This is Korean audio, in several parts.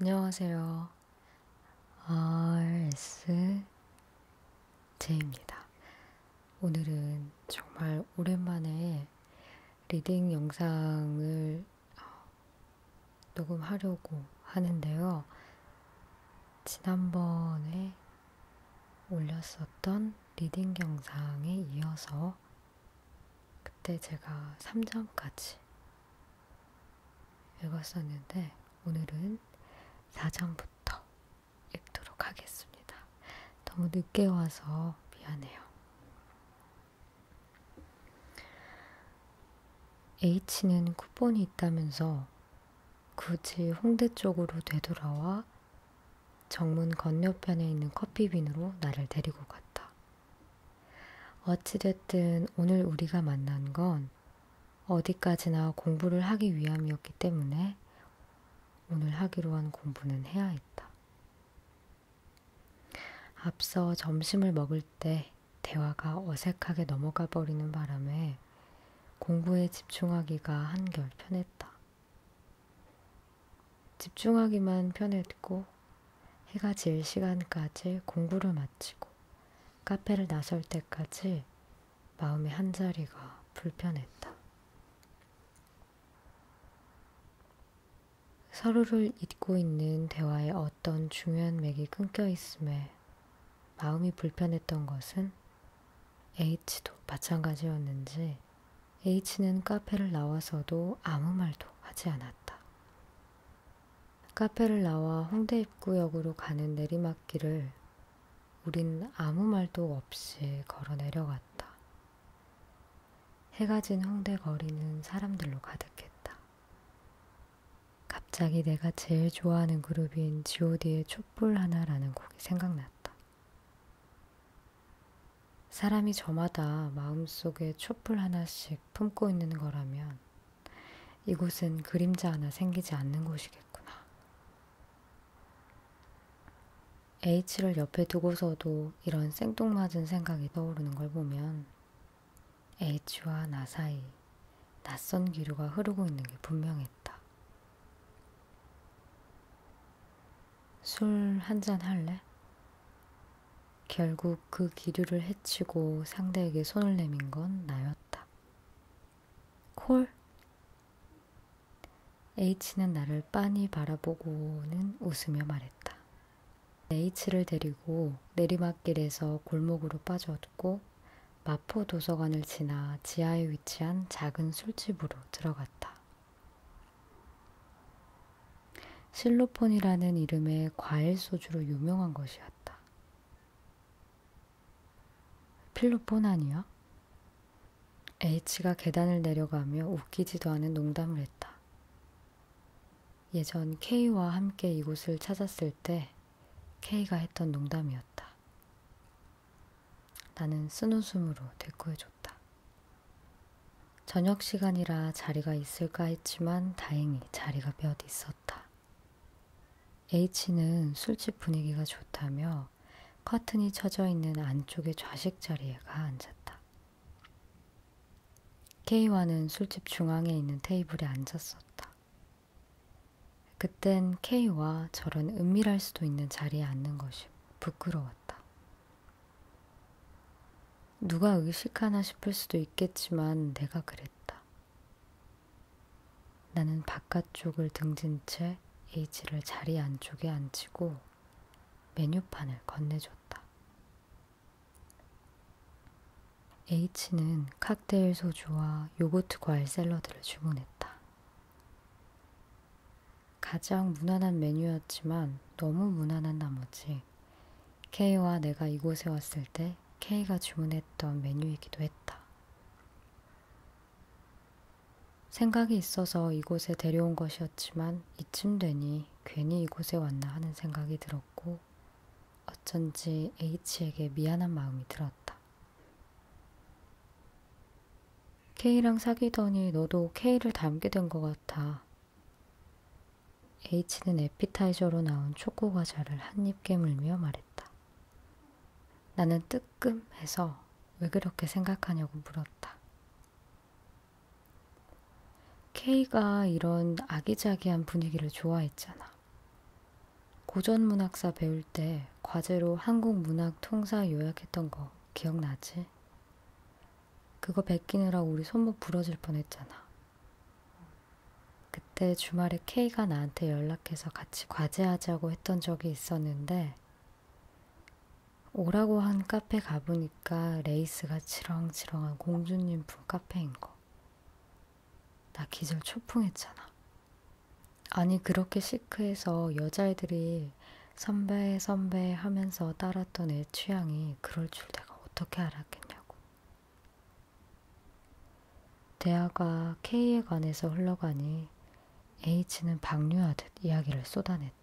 안녕하세요. RSJ입니다. 오늘은 정말 오랜만에 리딩 영상을 어, 녹음하려고 하는데요. 지난번에 올렸었던 리딩 영상에 이어서 그때 제가 3장까지 읽었었는데 오늘은 4장부터 읽도록 하겠습니다. 너무 늦게 와서 미안해요. H는 쿠폰이 있다면서 굳이 홍대 쪽으로 되돌아와 정문 건너편에 있는 커피빈으로 나를 데리고 갔다. 어찌됐든 오늘 우리가 만난 건 어디까지나 공부를 하기 위함이었기 때문에 오늘 하기로 한 공부는 해야 했다. 앞서 점심을 먹을 때 대화가 어색하게 넘어가 버리는 바람에 공부에 집중하기가 한결 편했다. 집중하기만 편했고 해가 질 시간까지 공부를 마치고 카페를 나설 때까지 마음의 한자리가 불편했다. 서로를 잊고 있는 대화의 어떤 중요한 맥이 끊겨 있음에 마음이 불편했던 것은 H도 마찬가지였는지 H는 카페를 나와서도 아무 말도 하지 않았다. 카페를 나와 홍대 입구역으로 가는 내리막길을 우린 아무 말도 없이 걸어 내려갔다. 해가 진 홍대 거리는 사람들로 가득했다. 갑자기 내가 제일 좋아하는 그룹인 god의 촛불 하나라는 곡이 생각났다. 사람이 저마다 마음속에 촛불 하나씩 품고 있는 거라면 이곳은 그림자 하나 생기지 않는 곳이겠구나. H를 옆에 두고서도 이런 생뚱맞은 생각이 떠오르는 걸 보면 H와 나 사이 낯선 기류가 흐르고 있는 게 분명했다. 술 한 잔 할래? 결국 그 기류를 해치고 상대에게 손을 내민 건 나였다. 콜? H는 나를 빤히 바라보고는 웃으며 말했다. H를 데리고 내리막길에서 골목으로 빠졌고 마포 도서관을 지나 지하에 위치한 작은 술집으로 들어갔다. 실로폰이라는 이름의 과일 소주로 유명한 것이었다. 필로폰 아니야? H가 계단을 내려가며 웃기지도 않은 농담을 했다. 예전 K와 함께 이곳을 찾았을 때 K가 했던 농담이었다. 나는 쓴웃음으로 대꾸해줬다. 저녁 시간이라 자리가 있을까 했지만 다행히 자리가 몇 있었다. H는 술집 분위기가 좋다며 커튼이 쳐져 있는 안쪽의 좌식 자리에 가 앉았다. K와는 술집 중앙에 있는 테이블에 앉았었다. 그땐 K와 저런 은밀할 수도 있는 자리에 앉는 것이 부끄러웠다. 누가 의식하나 싶을 수도 있겠지만 내가 그랬다. 나는 바깥쪽을 등진 채 H를 자리 안쪽에 앉히고 메뉴판을 건네줬다. H는 칵테일 소주와 요거트 과일 샐러드를 주문했다. 가장 무난한 메뉴였지만 너무 무난한 나머지 때 K와 내가 이곳에 왔을 때 K가 주문했던 메뉴이기도 했다. 생각이 있어서 이곳에 데려온 것이었지만 이쯤 되니 괜히 이곳에 왔나 하는 생각이 들었고 어쩐지 H에게 미안한 마음이 들었다. K랑 사귀더니 너도 K를 닮게 된 것 같아. H는 에피타이저로 나온 초코 과자를 한 입 깨물며 말했다. 나는 뜨끔해서 왜 그렇게 생각하냐고 물었다. K가 이런 아기자기한 분위기를 좋아했잖아. 고전 문학사 배울 때 과제로 한국 문학 통사 요약했던 거 기억나지? 그거 베끼느라 우리 손목 부러질 뻔했잖아. 그때 주말에 K가 나한테 연락해서 같이 과제하자고 했던 적이 있었는데 오라고 한 카페 가보니까 레이스가 치렁치렁한 공주님품 카페인 거. 나 기절 초풍했잖아. 아니 그렇게 시크해서 여자애들이 선배 선배 하면서 따랐던 애 취향이 그럴 줄 내가 내가 어떻게 알았겠냐고. 대화가 K에 관해서 흘러가니 H는 방류하듯 이야기를 쏟아냈다.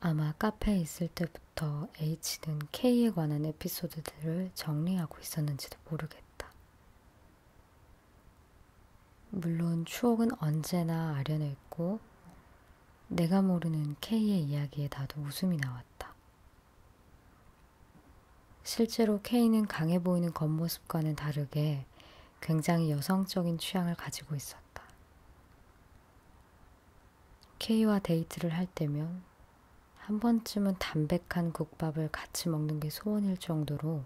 아마 카페에 있을 때부터 H는 K에 관한 에피소드들을 정리하고 있었는지도 모르겠다. 물론 추억은 언제나 아련했고 내가 모르는 K의 이야기에 나도 웃음이 나왔다. 실제로 K는 강해 보이는 겉모습과는 다르게 굉장히 여성적인 취향을 가지고 있었다. K와 데이트를 할 때면 한 번쯤은 담백한 국밥을 같이 먹는 게 소원일 정도로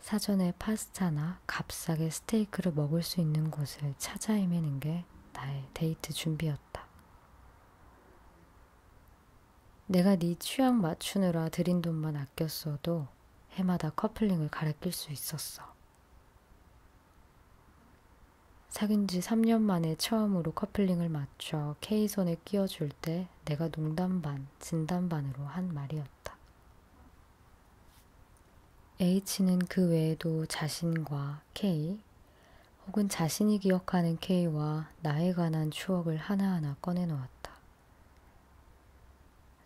사전에 파스타나 값싸게 스테이크를 먹을 수 있는 곳을 찾아 헤매는 게 나의 데이트 준비였다. 내가 네 취향 맞추느라 들인 돈만 아꼈어도 해마다 커플링을 갈아낄 수 있었어. 사귄 지 3년 만에 처음으로 커플링을 맞춰 K손에 끼워줄 때 내가 농담 반, 진담 반으로 한 말이었다. H는 그 외에도 자신과 K, 혹은 자신이 기억하는 K와 나에 관한 추억을 하나하나 꺼내놓았다.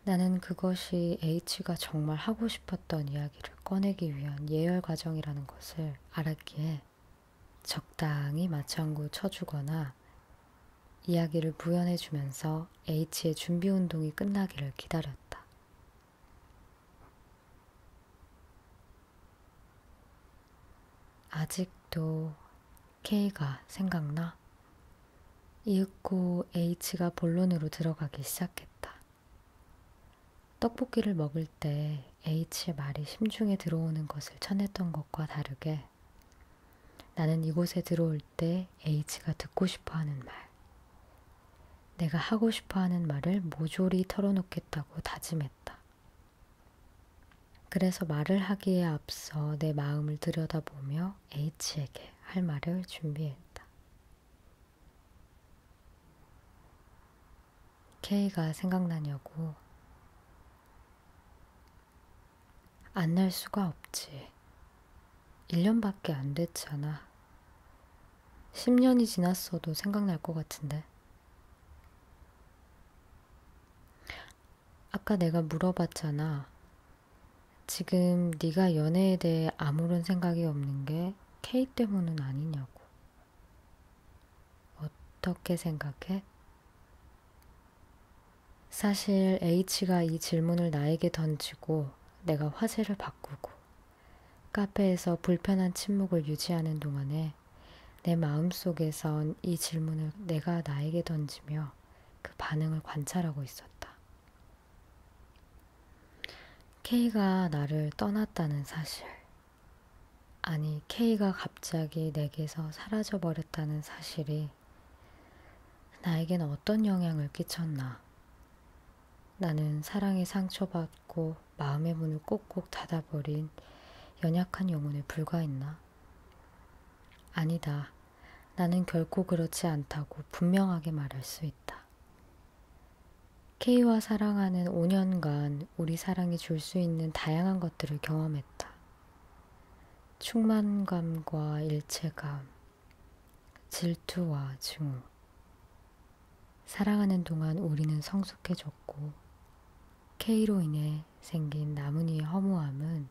나는 그것이 H가 정말 하고 싶었던 이야기를 꺼내기 위한 예열 과정이라는 것을 알았기에 적당히 마창구 쳐주거나 이야기를 부연해주면서 H의 준비 운동이 끝나기를 기다렸다. 아직도 K가 생각나? 이윽고 H가 본론으로 들어가기 시작했다. 떡볶이를 먹을 때 H의 말이 심중에 들어오는 것을 쳐냈던 것과 다르게 나는 이곳에 들어올 때 H가 듣고 싶어 하는 말, 내가 하고 싶어 하는 말을 모조리 털어놓겠다고 다짐했다. 그래서 말을 하기에 앞서 내 마음을 들여다보며 H에게 할 말을 준비했다. K가 생각나냐고. 안 날 수가 없지. 1년밖에 안 됐잖아. 10년이 지났어도 생각날 것 같은데. 아까 내가 물어봤잖아. 지금 네가 연애에 대해 아무런 생각이 없는 게 K 때문은 아니냐고. 어떻게 생각해? 사실 H가 이 질문을 나에게 던지고 내가 화제를 바꾸고 카페에서 불편한 침묵을 유지하는 동안에 내 마음속에선 이 질문을 내가 나에게 던지며 그 반응을 관찰하고 있었다. K가 나를 떠났다는 사실. 아니, K가 갑자기 내게서 사라져버렸다는 사실이 나에겐 어떤 영향을 끼쳤나 나는 사랑에 상처받고 마음의 문을 꼭꼭 닫아버린 연약한 영혼에 불과했나? 아니다. 나는 결코 그렇지 않다고 분명하게 말할 수 있다. K와 사랑하는 5년간 우리 사랑이 줄 수 있는 다양한 것들을 경험했다. 충만감과 일체감, 질투와 증오, 사랑하는 동안 우리는 성숙해졌고, K로 인해 생긴 나뭇잎의 허무함은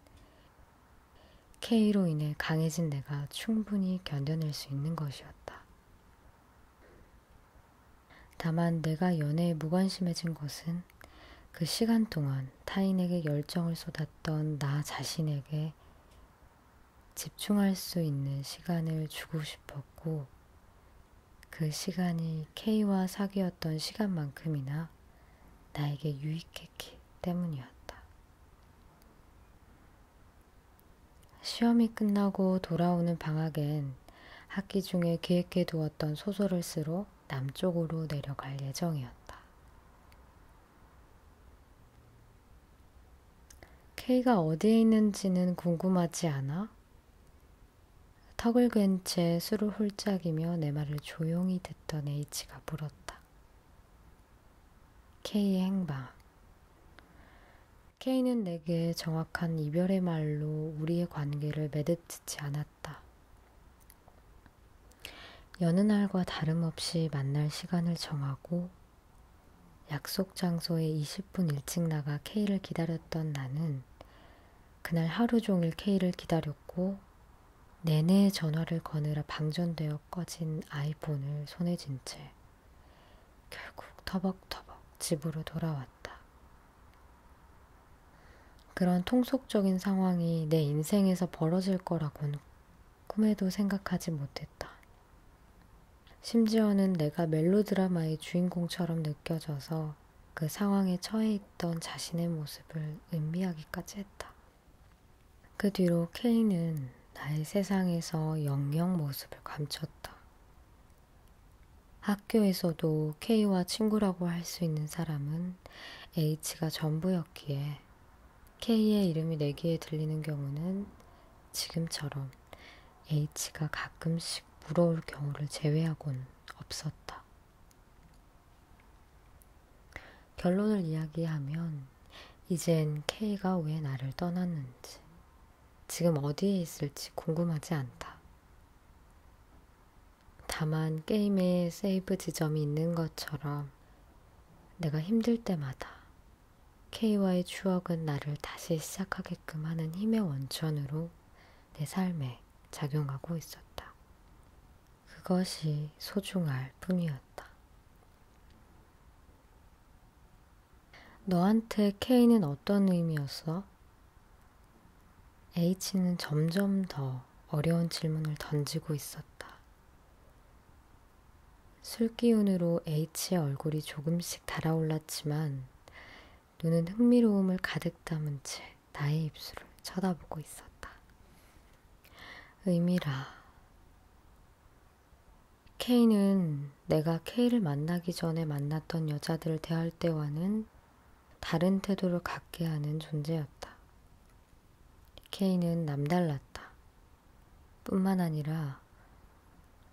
K로 인해 강해진 내가 충분히 견뎌낼 수 있는 것이었다. 다만 내가 연애에 무관심해진 것은 그 시간 동안 타인에게 열정을 쏟았던 나 자신에게 집중할 수 있는 시간을 주고 싶었고, 그 시간이 K와 사귀었던 시간만큼이나 나에게 유익했기 때문이었다. 시험이 끝나고 돌아오는 방학엔 학기 중에 계획해 두었던 소설을 쓰러 남쪽으로 내려갈 예정이었다. K가 어디에 있는지는 궁금하지 않아? 턱을 괸채 술을 홀짝이며 내 말을 조용히 듣던 H가 물었다. K의 행방. K는 내게 정확한 이별의 말로 우리의 관계를 매듭짓지 않았다. 여느 날과 다름없이 만날 시간을 정하고 약속 장소에 20분 일찍 나가 K를 기다렸던 나는 그날 하루 종일 K를 기다렸고 내내 전화를 거느라 방전되어 꺼진 아이폰을 손에 쥔 채 결국 터벅터벅 집으로 돌아왔다. 그런 통속적인 상황이 내 인생에서 벌어질 거라고는 꿈에도 생각하지 못했다. 심지어는 내가 멜로드라마의 주인공처럼 느껴져서 그 상황에 처해 있던 자신의 모습을 음미하기까지 했다. 그 뒤로 케인은 나의 세상에서 영영 모습을 감췄다. 학교에서도 K와 친구라고 할 수 있는 사람은 H가 전부였기에 K의 이름이 내기에 들리는 경우는 지금처럼 것처럼 H가 가끔씩 물어올 경우를 제외하곤 없었다. 결론을 이야기하면 이젠 K가 왜 나를 떠났는지, 지금 어디에 있을지 궁금하지 않다. 다만 게임에 세이브 지점이 있는 것처럼 내가 힘들 때마다 K와의 추억은 나를 다시 시작하게끔 하는 힘의 원천으로 내 삶에 작용하고 있었다. 그것이 소중할 뿐이었다. 너한테 K는 어떤 의미였어? H는 점점 더 어려운 질문을 던지고 있었다. 술기운으로 H의 얼굴이 조금씩 달아올랐지만 눈은 흥미로움을 가득 담은 채 나의 입술을 쳐다보고 있었다. 의미라. K는 내가 K를 만나기 전에 만났던 여자들을 대할 때와는 다른 태도를 갖게 하는 존재였다. K는 남달랐다. 뿐만 아니라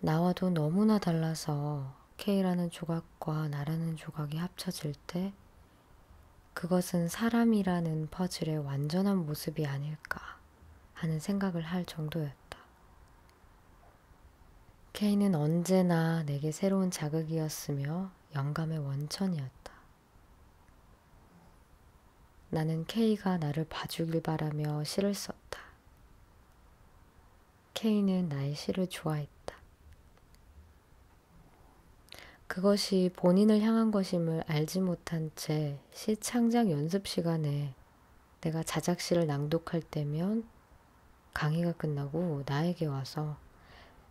나와도 너무나 달라서 K라는 조각과 나라는 조각이 합쳐질 때 그것은 사람이라는 퍼즐의 완전한 모습이 아닐까 하는 생각을 할 정도였다. K는 언제나 내게 새로운 자극이었으며 영감의 원천이었다. 나는 K가 나를 봐주길 바라며 시를 썼다. 케인은 날씨를 좋아했다. 그것이 본인을 향한 것임을 알지 못한 채 시창작 연습 시간에 내가 자작시를 낭독할 때면 강의가 끝나고 나에게 와서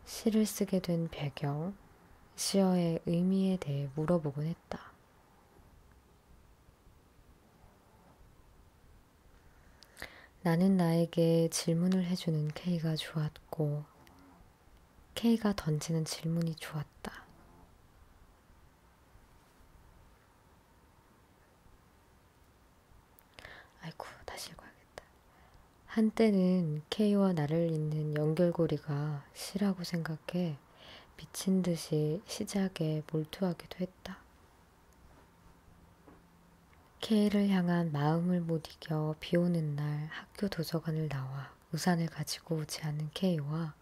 시를 쓰게 된 배경, 시어의 의미에 대해 물어보곤 했다. 나는 나에게 질문을 해주는 K가 좋았고, K가 던지는 질문이 좋았다. 아이고, 다시 읽어야겠다. 한때는 K와 나를 잇는 연결고리가 시라고 생각해 미친 듯이 시작에 몰두하기도 했다. 케이를 향한 마음을 못 이겨 비 오는 날 학교 도서관을 나와 우산을 가지고 오지 않은 케이와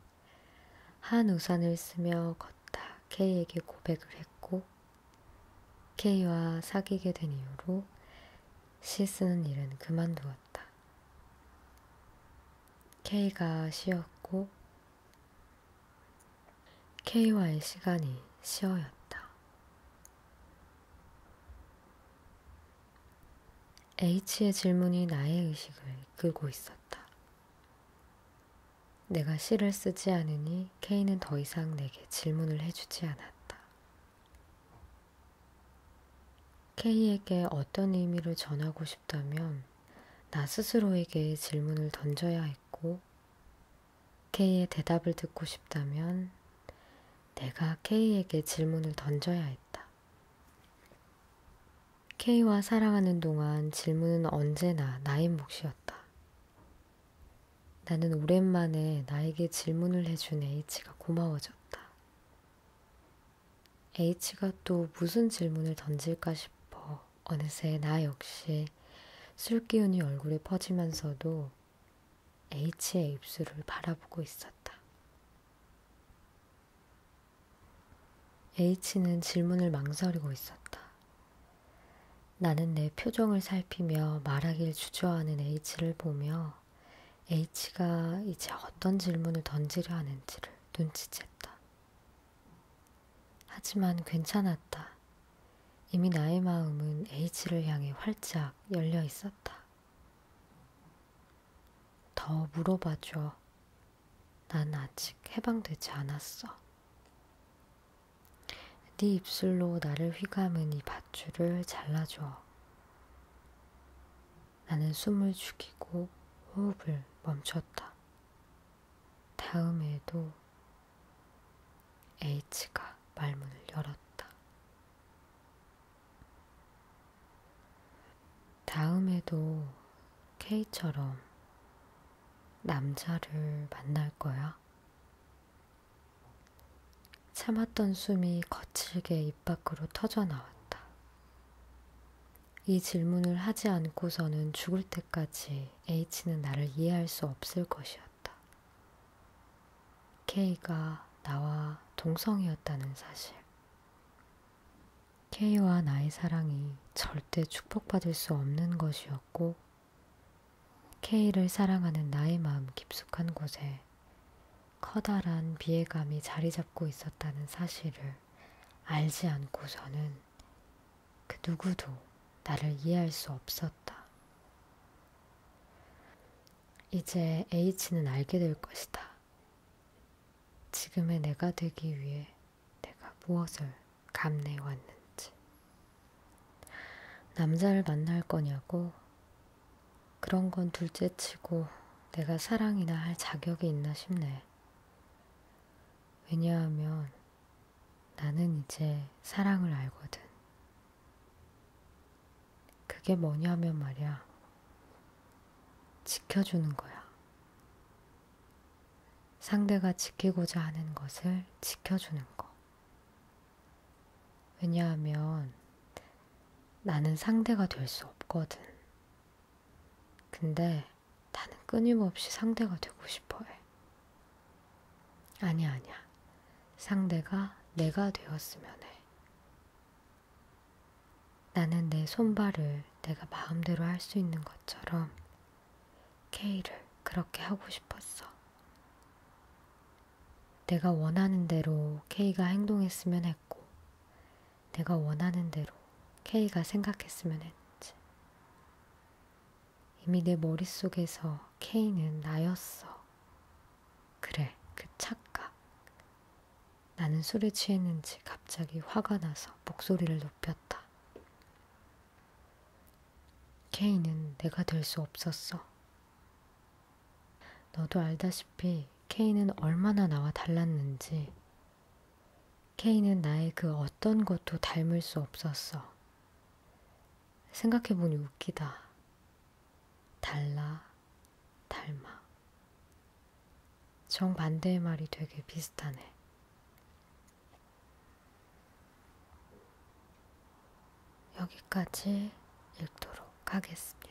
한 우산을 쓰며 걷다 케이에게 고백을 했고 케이와 사귀게 된 이후로 시 쓰는 일은 그만두었다. 케이가 시였고 K와의 시간이 쉬어였다. H의 질문이 나의 의식을 이끌고 있었다. 내가 시를 쓰지 않으니 K는 더 이상 내게 질문을 해주지 않았다. K에게 어떤 의미를 전하고 싶다면 나 스스로에게 질문을 던져야 했고 K의 대답을 듣고 싶다면 내가 K에게 질문을 던져야 했다. K와 사랑하는 동안 질문은 언제나 나의 몫이었다. 나는 오랜만에 나에게 질문을 해준 H가 고마워졌다. H가 또 무슨 질문을 던질까 싶어 어느새 나 역시 술 기운이 얼굴에 퍼지면서도 H의 입술을 바라보고 있었다. H는 질문을 망설이고 있었다. 나는 내 표정을 살피며 말하길 주저하는 H를 보며 H가 이제 어떤 질문을 던지려 하는지를 눈치챘다. 하지만 괜찮았다. 이미 나의 마음은 H를 향해 활짝 열려 있었다. 더 물어봐줘. 난 아직 해방되지 않았어. 네 입술로 나를 휘감은 이 밧줄을 잘라줘. 나는 숨을 죽이고 호흡을 멈췄다. 다음에도 H가 말문을 열었다. 다음에도 K처럼 남자를 만날 거야? 참았던 숨이 거칠게 입 밖으로 터져 나왔다. 이 질문을 하지 않고서는 죽을 때까지 H는 나를 이해할 수 없을 것이었다. K가 나와 동성이었다는 사실. K와 나의 사랑이 절대 축복받을 수 없는 것이었고, K를 사랑하는 나의 마음 깊숙한 곳에 커다란 비애감이 자리 잡고 있었다는 사실을 알지 않고서는 나는 그 누구도 나를 이해할 수 없었다. 이제 H는 알게 될 것이다. 지금의 내가 되기 위해 내가 무엇을 감내해 왔는지. 남자를 만날 거냐고? 그런 건 둘째 치고 내가 사랑이나 할 자격이 있나 싶네. 왜냐하면 나는 이제 사랑을 알거든. 그게 뭐냐면 말이야. 지켜주는 거야. 상대가 지키고자 하는 것을 지켜주는 거. 왜냐하면 나는 상대가 될 수 없거든. 근데 나는 끊임없이 상대가 되고 싶어 해. 아니야, 아니야. 상대가 내가 되었으면 해. 나는 내 손발을 내가 마음대로 할 수 있는 것처럼 K를 그렇게 하고 싶었어. 내가 원하는 대로 K가 행동했으면 했고, 내가 원하는 대로 K가 생각했으면 했지. 이미 내 머릿속에서 케이는 나였어. 그래, 그 착각. 나는 술에 취했는지 갑자기 화가 나서 목소리를 높였다. 케이는 내가 될 수 없었어. 너도 알다시피 케이는 얼마나 나와 달랐는지. 케이는 나의 그 어떤 것도 닮을 수 없었어. 생각해보니 웃기다. 달라, 닮아. 정반대의 말이 되게 비슷하네. 여기까지 읽도록 하겠습니다.